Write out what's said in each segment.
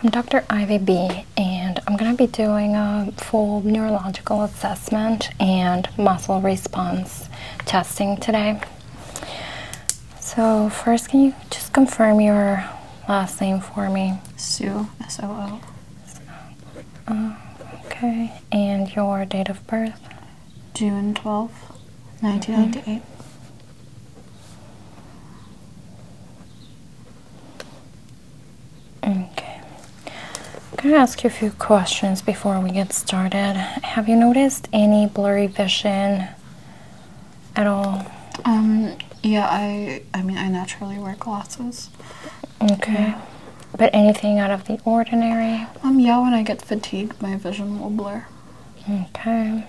I'm Dr. Ivy B, and I'm going to be doing a full neurological assessment and muscle response testing today. So, first, can you just confirm your last name for me? Sue, S O O. Oh, okay, and your date of birth? June twelfth, 1998. Mm-hmm. Okay. I'm going to ask you a few questions before we get started. Have you noticed any blurry vision at all? Um yeah, I I mean I naturally wear glasses. Okay. But anything out of the ordinary? Um yeah, when I get fatigued, my vision will blur. Okay.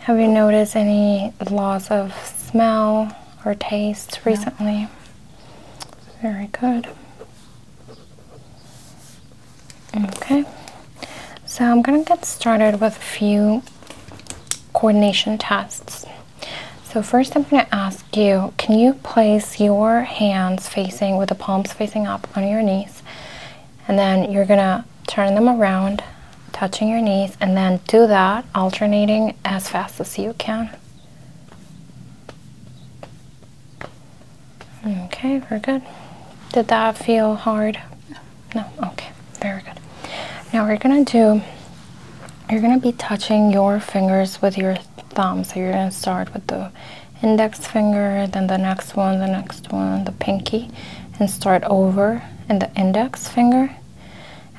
Have you noticed any loss of smell or taste recently? Very good. Okay, so I'm going to get started with a few coordination tests. So, first, I'm going to ask you can you place your hands facing with the palms facing up on your knees? And then you're going to turn them around, touching your knees, and then do that, alternating as fast as you can. Okay, we're good. Did that feel hard? No, okay, very good. Now we're gonna do, you're gonna be touching your fingers with your thumb. So you're gonna start with the index finger, then the next one, the next one, the pinky, and start over in the index finger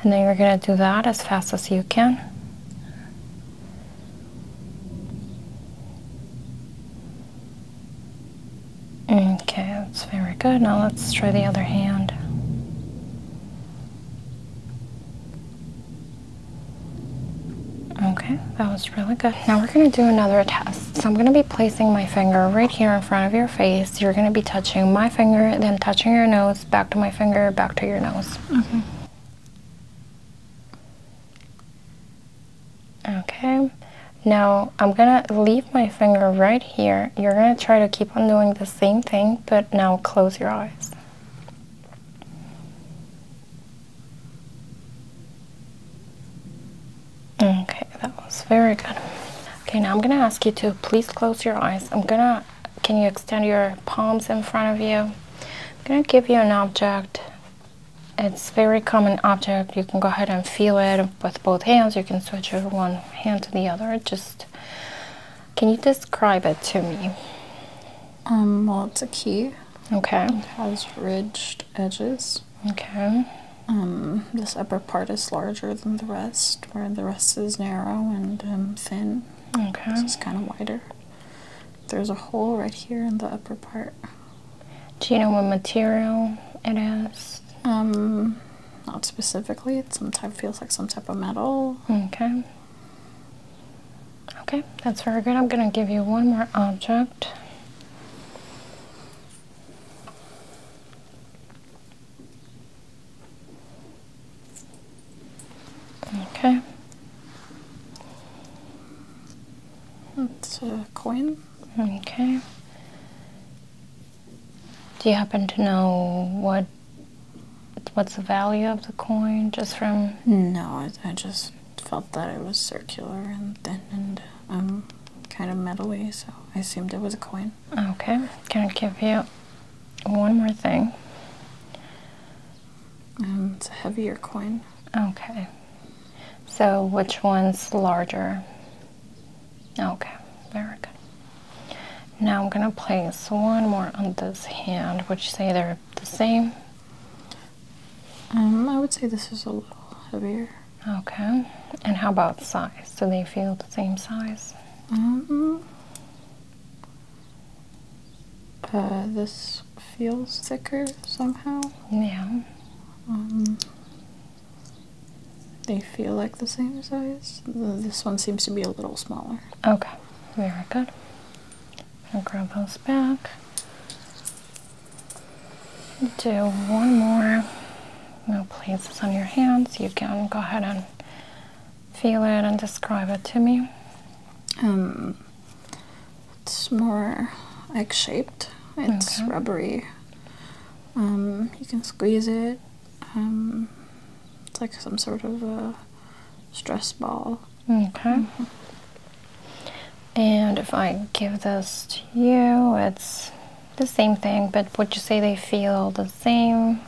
and then you're going to do that as fast as you can. Okay, that's very good. Now let's try the other hand. Okay, that was really good. Now we're going to do another test. So I'm going to be placing my finger right here in front of your face. You're going to be touching my finger, then touching your nose, back to my finger, back to your nose. Okay. Mm-hmm. Okay. Now I'm going to leave my finger right here. You're going to try to keep on doing the same thing, but now close your eyes. Okay. That was very good. Okay, now I'm gonna ask you to please close your eyes. I'm gonna, can you extend your palms in front of you? I'm gonna give you an object. It's very common object. You can go ahead and feel it with both hands. You can switch your one hand to the other. Just, can you describe it to me? Um, well, it's a key. Okay. It has ridged edges. Okay. Um, this upper part is larger than the rest, where the rest is narrow and um, thin. Okay. This is kind of wider. There's a hole right here in the upper part. Do you know what material it is? Um, not specifically. It sometimes feels like some type of metal. Okay. Okay, that's very good. I'm going to give you one more object. Okay. That's a coin. Okay. Do you happen to know what what's the value of the coin just from No, I, I just felt that it was circular and thin and um kind of metally, so I assumed it was a coin. Okay, I'm gonna give you one more thing. Um, it's a heavier coin. Okay. So which one's larger? Okay, very good. Now I'm gonna place one more on this hand. Would you say they're the same? Um, I would say this is a little heavier. Okay. And how about size? Do they feel the same size? Um, uh, this feels thicker somehow. Yeah. Um, they feel like the same size. This one seems to be a little smaller. Okay, very good. I'm grab those back. Do one more. No, please, it's on your hands. You can go ahead and feel it and describe it to me? Um, it's more egg shaped, it's rubbery. Um, you can squeeze it. Um, it's like some sort of a stress ball. Okay. Mm-hmm. And if I give this to you, it's the same thing, but would you say they feel the same?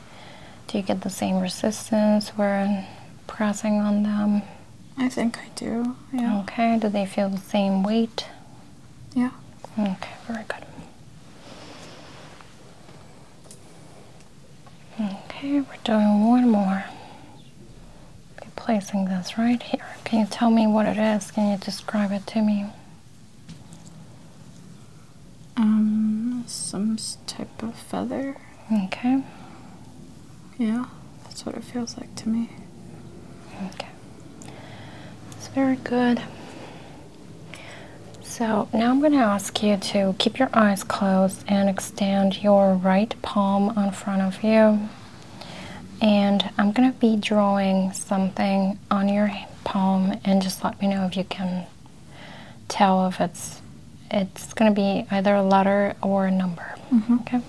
Do you get the same resistance when pressing on them? I think I do, yeah. Okay, do they feel the same weight? Yeah. Okay, very good. Okay, we're doing one more. Be placing this right here. Can you tell me what it is? Can you describe it to me? Um, some type of feather. Okay. Yeah, that's what it feels like to me. Okay. It's very good. So now I'm going to ask you to keep your eyes closed and extend your right palm in front of you. And I'm going to be drawing something on your palm and just let me know if you can tell if it's it's going to be either a letter or a number. Mm-hmm. Okay.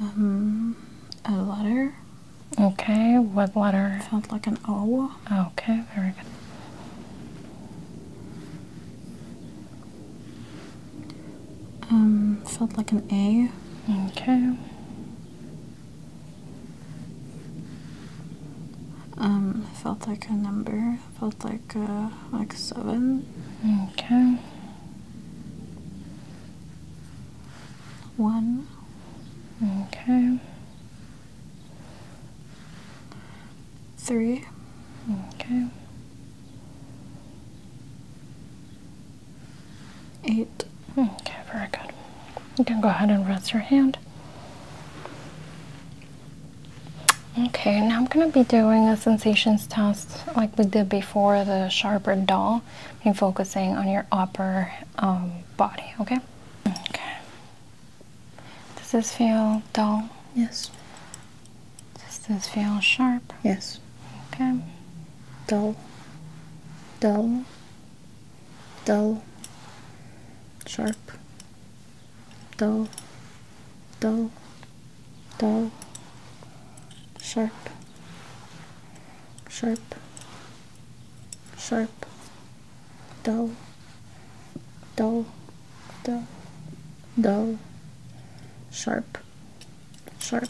Um, a letter. Okay, what letter? Sounds like an O. Okay, very good. Um, felt like an A. Okay. Um, felt like a number. Felt like uh, like seven. Okay. One. Okay. Three. Okay. Eight. Okay, very good. You can go ahead and rest your hand. Okay, now I'm going to be doing a sensations test like we did before the sharper dull, and focusing on your upper um, body, okay? Okay. Does this feel dull? Yes. Does this feel sharp? Yes. Okay. Dull, dull, dull, sharp, dull, dull, dull, sharp, sharp, sharp, dull, dull, dull, dull, sharp, sharp,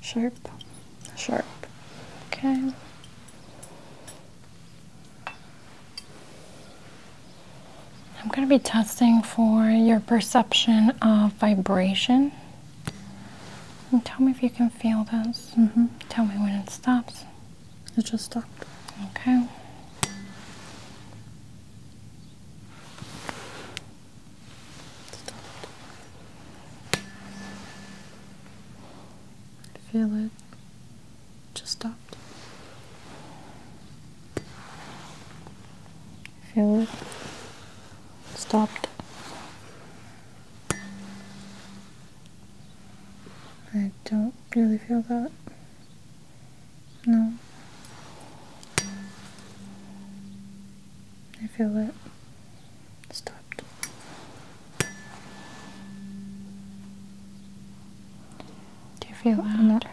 sharp, sharp. Okay. I'm going to be testing for your perception of vibration. And tell me if you can feel this. Mm-hmm. Tell me when it stops. It just stopped. Okay. I feel it. Just stopped. Feel it. Stopped. I don't really feel that. No. I feel it stopped. Do you feel that?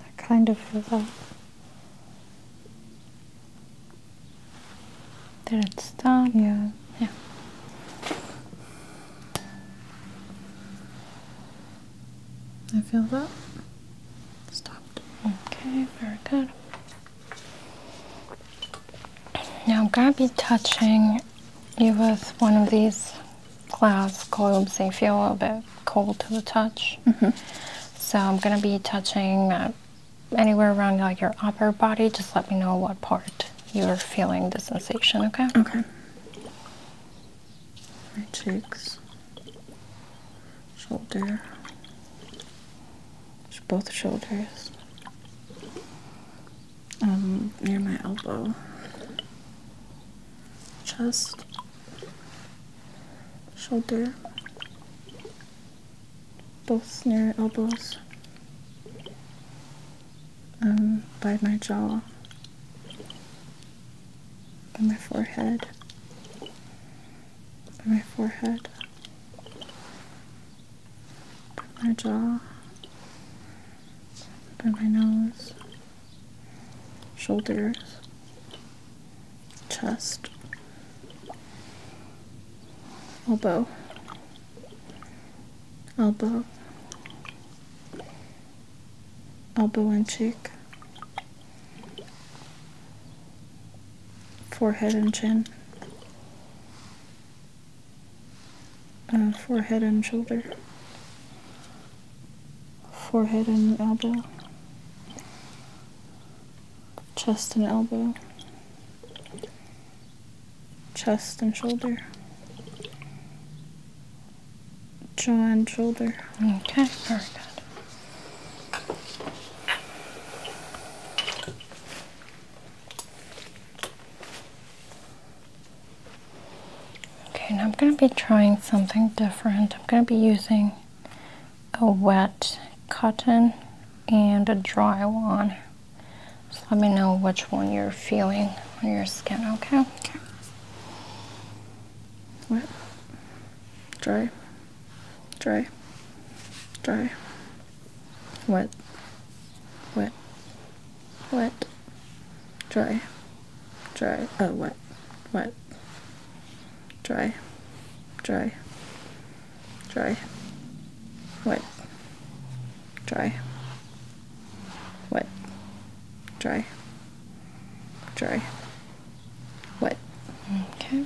I kind of feel that. Did it stop? Yeah. Yeah. I feel that. Stopped. Okay, very good. Now I'm gonna be touching you with one of these glass globes. They feel a little bit cold to the touch. Mm-hmm. So I'm gonna be touching anywhere around like your upper body. Just let me know what part you're feeling the sensation. Okay. Okay my cheeks, shoulder, both shoulders, um, near my elbow, chest, shoulder, both near elbows, um, by my jaw, on my forehead, on my forehead, on my jaw, on my nose, shoulders, chest, elbow, elbow, elbow and cheek, forehead and chin, uh, forehead and shoulder, forehead and elbow, chest and elbow, chest and shoulder, jaw and shoulder. Okay, very good. Okay, now I'm going to be trying something different. I'm going to be using a wet cotton and a dry one. Just let me know which one you're feeling on your skin, okay? Okay. What? dry, dry, dry, wet, wet, wet, dry, dry, oh, wet, wet, dry, dry, dry, wet, dry, wet, dry, dry. What? Okay.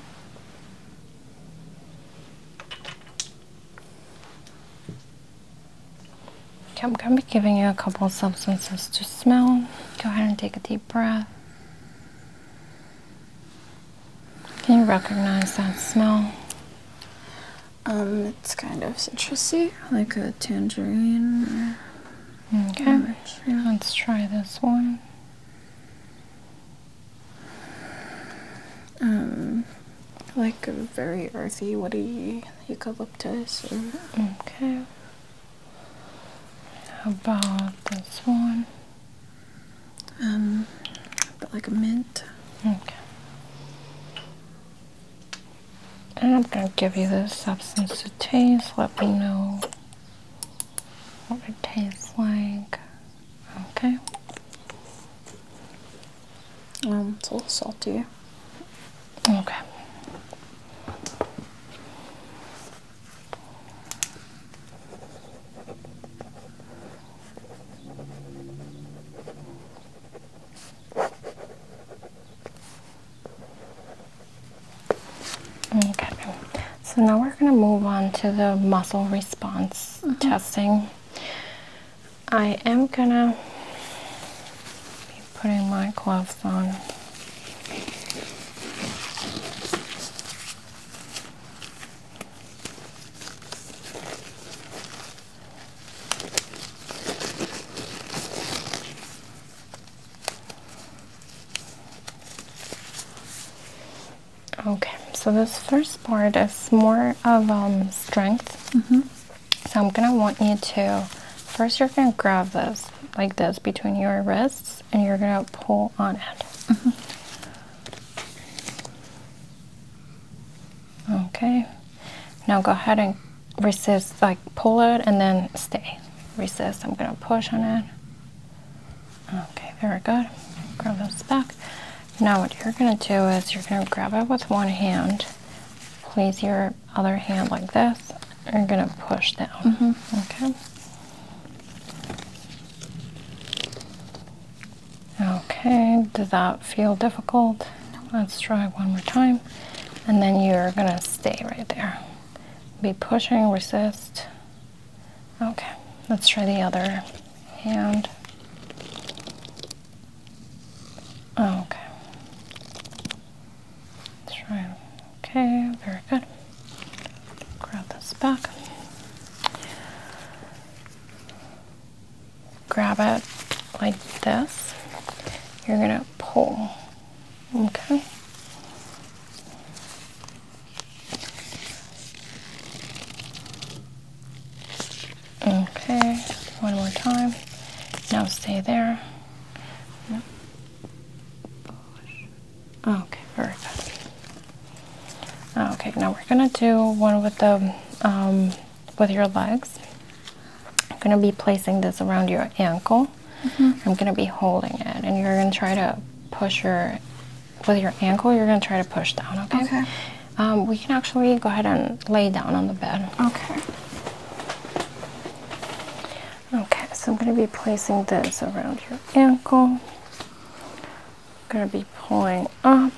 Okay, I'm going to be giving you a couple of substances to smell. Go ahead and take a deep breath. Can you recognize that smell? Um, it's kind of citrusy, like a tangerine. Okay, right, yeah. let's try this one. Um, like a very earthy, woody eucalyptus. Okay. How about this one? Um, but like a mint. Okay. I'm gonna give you the substance to taste. Let me know what it tastes like. Okay. Um, it's a little salty. Okay. Okay, so now we're going to move on to the muscle response mm-hmm. testing. I am going to be putting my gloves on. Okay, so this first part is more of um, strength. Mm-hmm. So I'm gonna want you to first you're gonna grab this like this between your wrists and you're gonna pull on it. Mm-hmm. Okay. Now go ahead and resist, like pull it and then stay. Resist. I'm gonna push on it. Okay, very good. Grab those back. Now what you're gonna do is you're gonna grab it with one hand, place your other hand like this, and you're gonna push down. Mm-hmm. Okay. Okay, does that feel difficult? Let's try one more time. And then you're gonna stay right there. Be pushing, resist. Okay, let's try the other hand. Okay. Let's try. Okay, very good. Grab this back. Grab it like this. You're gonna pull. Okay. Okay, one more time. Now stay there. Okay, very good. Okay, now we're gonna do one with the um, with your legs. I'm gonna be placing this around your ankle. Mm-hmm. I'm going to be holding it, and you're going to try to push your with your ankle. You're going to try to push down. Okay. Um, we can actually go ahead and lay down on the bed. Okay. Okay. So I'm going to be placing this around your ankle. going to be pulling up.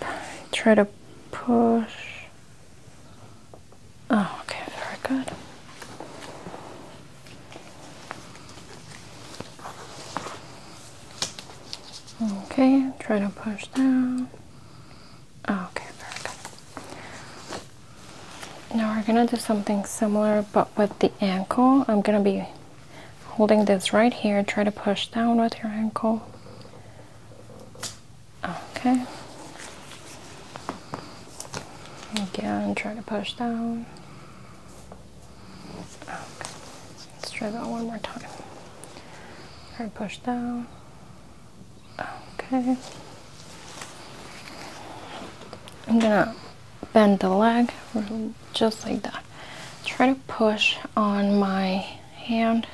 Try to push. Oh, okay. Very good. Okay, try to push down. Oh, okay, Now we're gonna do something similar but with the ankle. I'm gonna be holding this right here. Try to push down with your ankle. Okay. Again, try to push down let's try that one more time. Try to push down. Okay. I'm gonna bend the leg just like that. Try to push on my hand.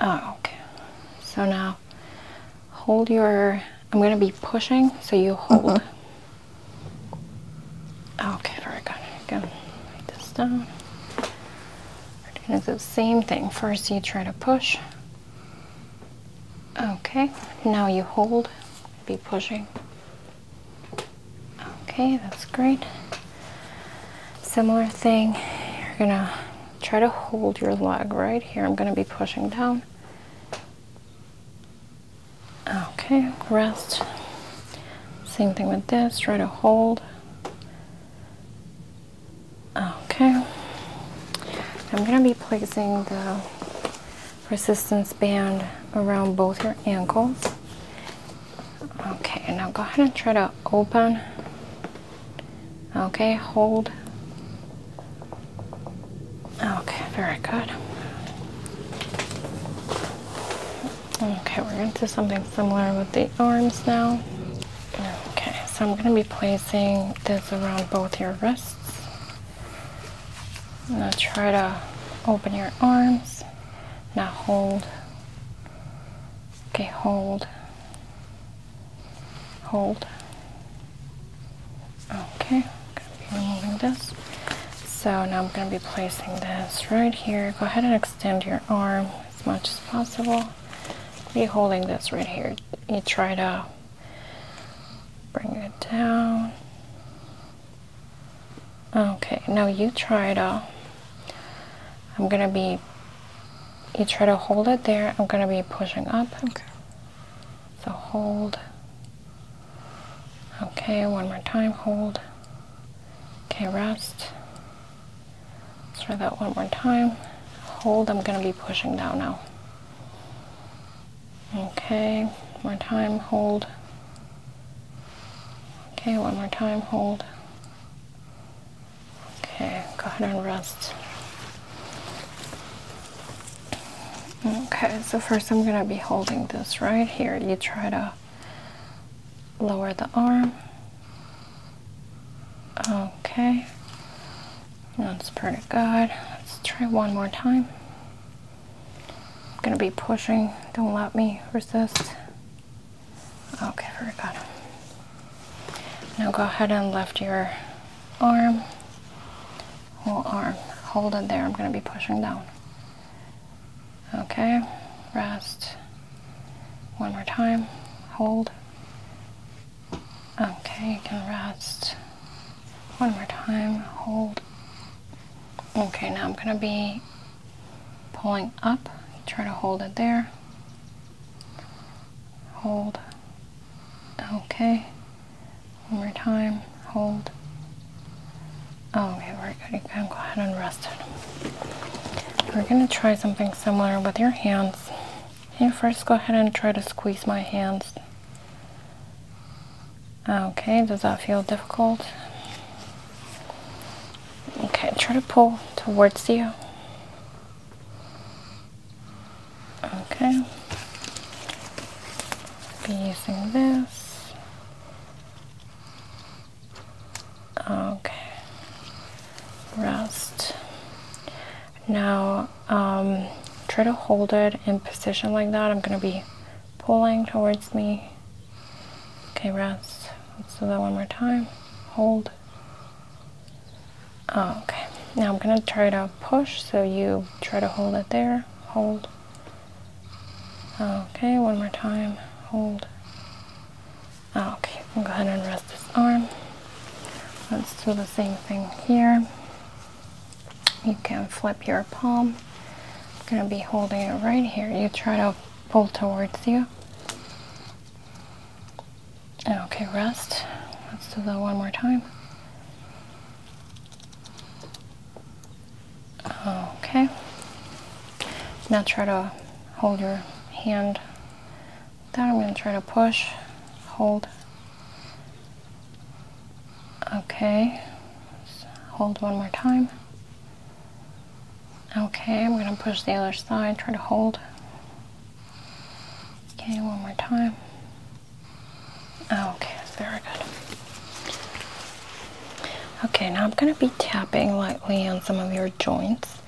Oh, okay. So now hold your I'm going to be pushing, so you hold. Uh -huh. Oh, okay, there we Go like this down. We're going the same thing. First, you try to push. Okay, now you hold. Be pushing. Okay, that's great. Similar thing. You're going to try to hold your leg right here. I'm going to be pushing down. Okay, rest. Same thing with this, try to hold. Okay. I'm gonna be placing the resistance band around both your ankles. Okay, now go ahead and try to open. Okay, hold. Oh, okay, very good. Okay, we're going to do something similar with the arms now. Okay, so I'm going to be placing this around both your wrists. Now try to open your arms. Now hold. Okay, hold. Hold. Okay, removing this. So now I'm going to be placing this right here. Go ahead and extend your arm as much as possible. Be holding this right here. You try to bring it down. Okay, now you try to. I'm going to be. You try to hold it there. I'm going to be pushing up. Okay. So hold. Okay, one more time, hold. Okay, rest. try that one more time. Hold, I'm gonna be pushing down now. Okay, one more time, hold. Okay, one more time, hold. Okay, go ahead and rest. Okay, so first I'm going to be holding this right here. You try to lower the arm. Okay, that's pretty good. Let's try one more time. going to be pushing. Don't let me resist. Okay, very good. Now go ahead and lift your arm whole arm. Hold it there. I'm going to be pushing down. Okay, rest. One more time. Hold. Okay, you can rest. One more time. Hold. Okay, now I'm going to be pulling up. Try to hold it there. Hold. Okay. One more time, hold. Oh, okay, we're good. You go ahead and rest it. We're gonna try something similar with your hands. you first go ahead and try to squeeze my hands? Okay, does that feel difficult? Okay, try to pull towards you. Okay be using this. Okay, rest. Now, um, try to hold it in position like that. I'm gonna be pulling towards me. Okay, rest. Let's do that one more time. Hold. Oh, okay, now I'm gonna try to push, so you try to hold it there. Hold. Okay, one more time. Hold. Ah, okay, you can go ahead and rest this arm. Let's do the same thing here. You can flip your palm. I'm gonna be holding it right here. You try to pull towards you. Okay, rest. Let's do that one more time. Okay. Now try to hold your hand. Then I'm going to try to push, hold. Okay. Hold one more time. Okay, I'm going to push the other side, try to hold. Okay, one more time. Oh, okay, very good. Okay, now I'm going to be tapping lightly on some of your joints,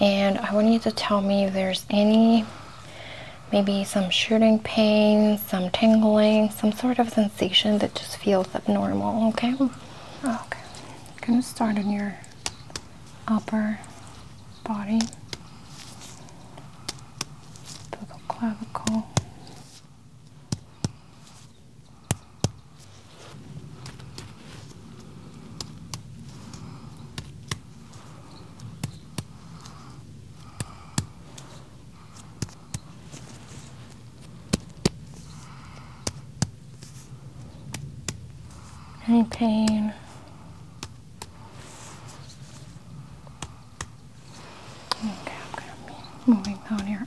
and I want you to tell me if there's any maybe some shooting pain, some tingling, some sort of sensation that just feels abnormal, okay? Oh, okay. gonna start on your upper body, the clavicle, any pain Okay, I'm gonna be moving down your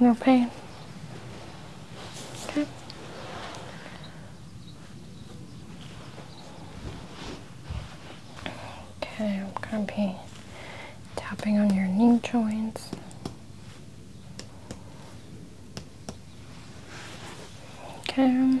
No pain. Okay. Okay, I'm going to be tapping on your knee joints. Okay.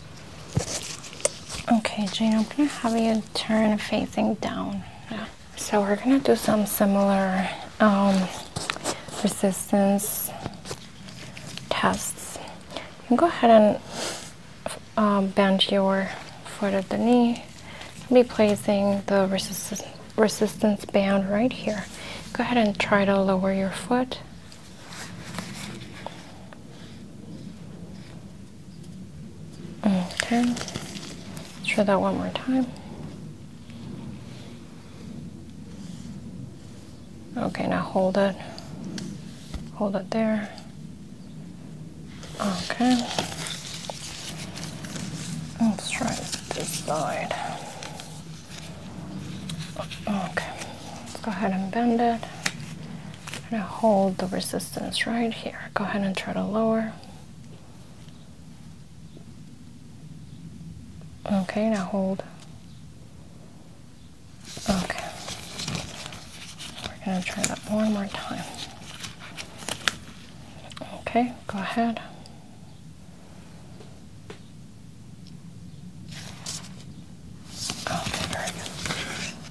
Okay, Jane, I'm gonna have you turn facing down. Yeah. So we're gonna do some similar um, resistance tests. go ahead and um, bend your foot at the knee. Be placing the resistance resistance band right here. Go ahead and try to lower your foot. Okay, let's try that one more time. Okay, now hold it. Hold it there. Okay. Let's try this side. Okay, let's go ahead and bend it. I'm going to hold the resistance right here. Go ahead and try to lower. Okay, now hold. Okay. We're going to try that one more time. Okay, go ahead. Okay, very good.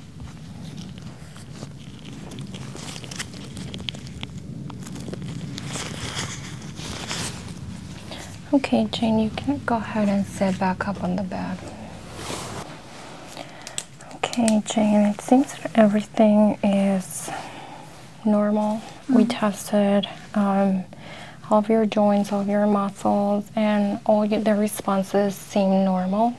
Okay, Jane, you can go ahead and sit back up on the bed. Okay, Jane, it seems that everything is normal. We mm-hmm. tested um, all of your joints, all of your muscles, and all the responses seem normal.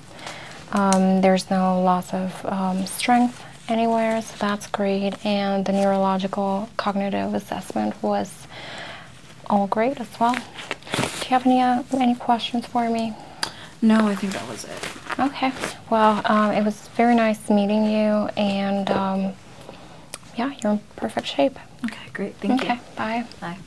Um, there's no loss of um, strength anywhere, so that's great. And the neurological cognitive assessment was all great as well. Do you have any uh, any questions for me? No, I think that was it. Okay. Well, um, it was very nice meeting you, and yeah, you're in perfect shape. Okay, great. Thank you. Okay, bye. Bye.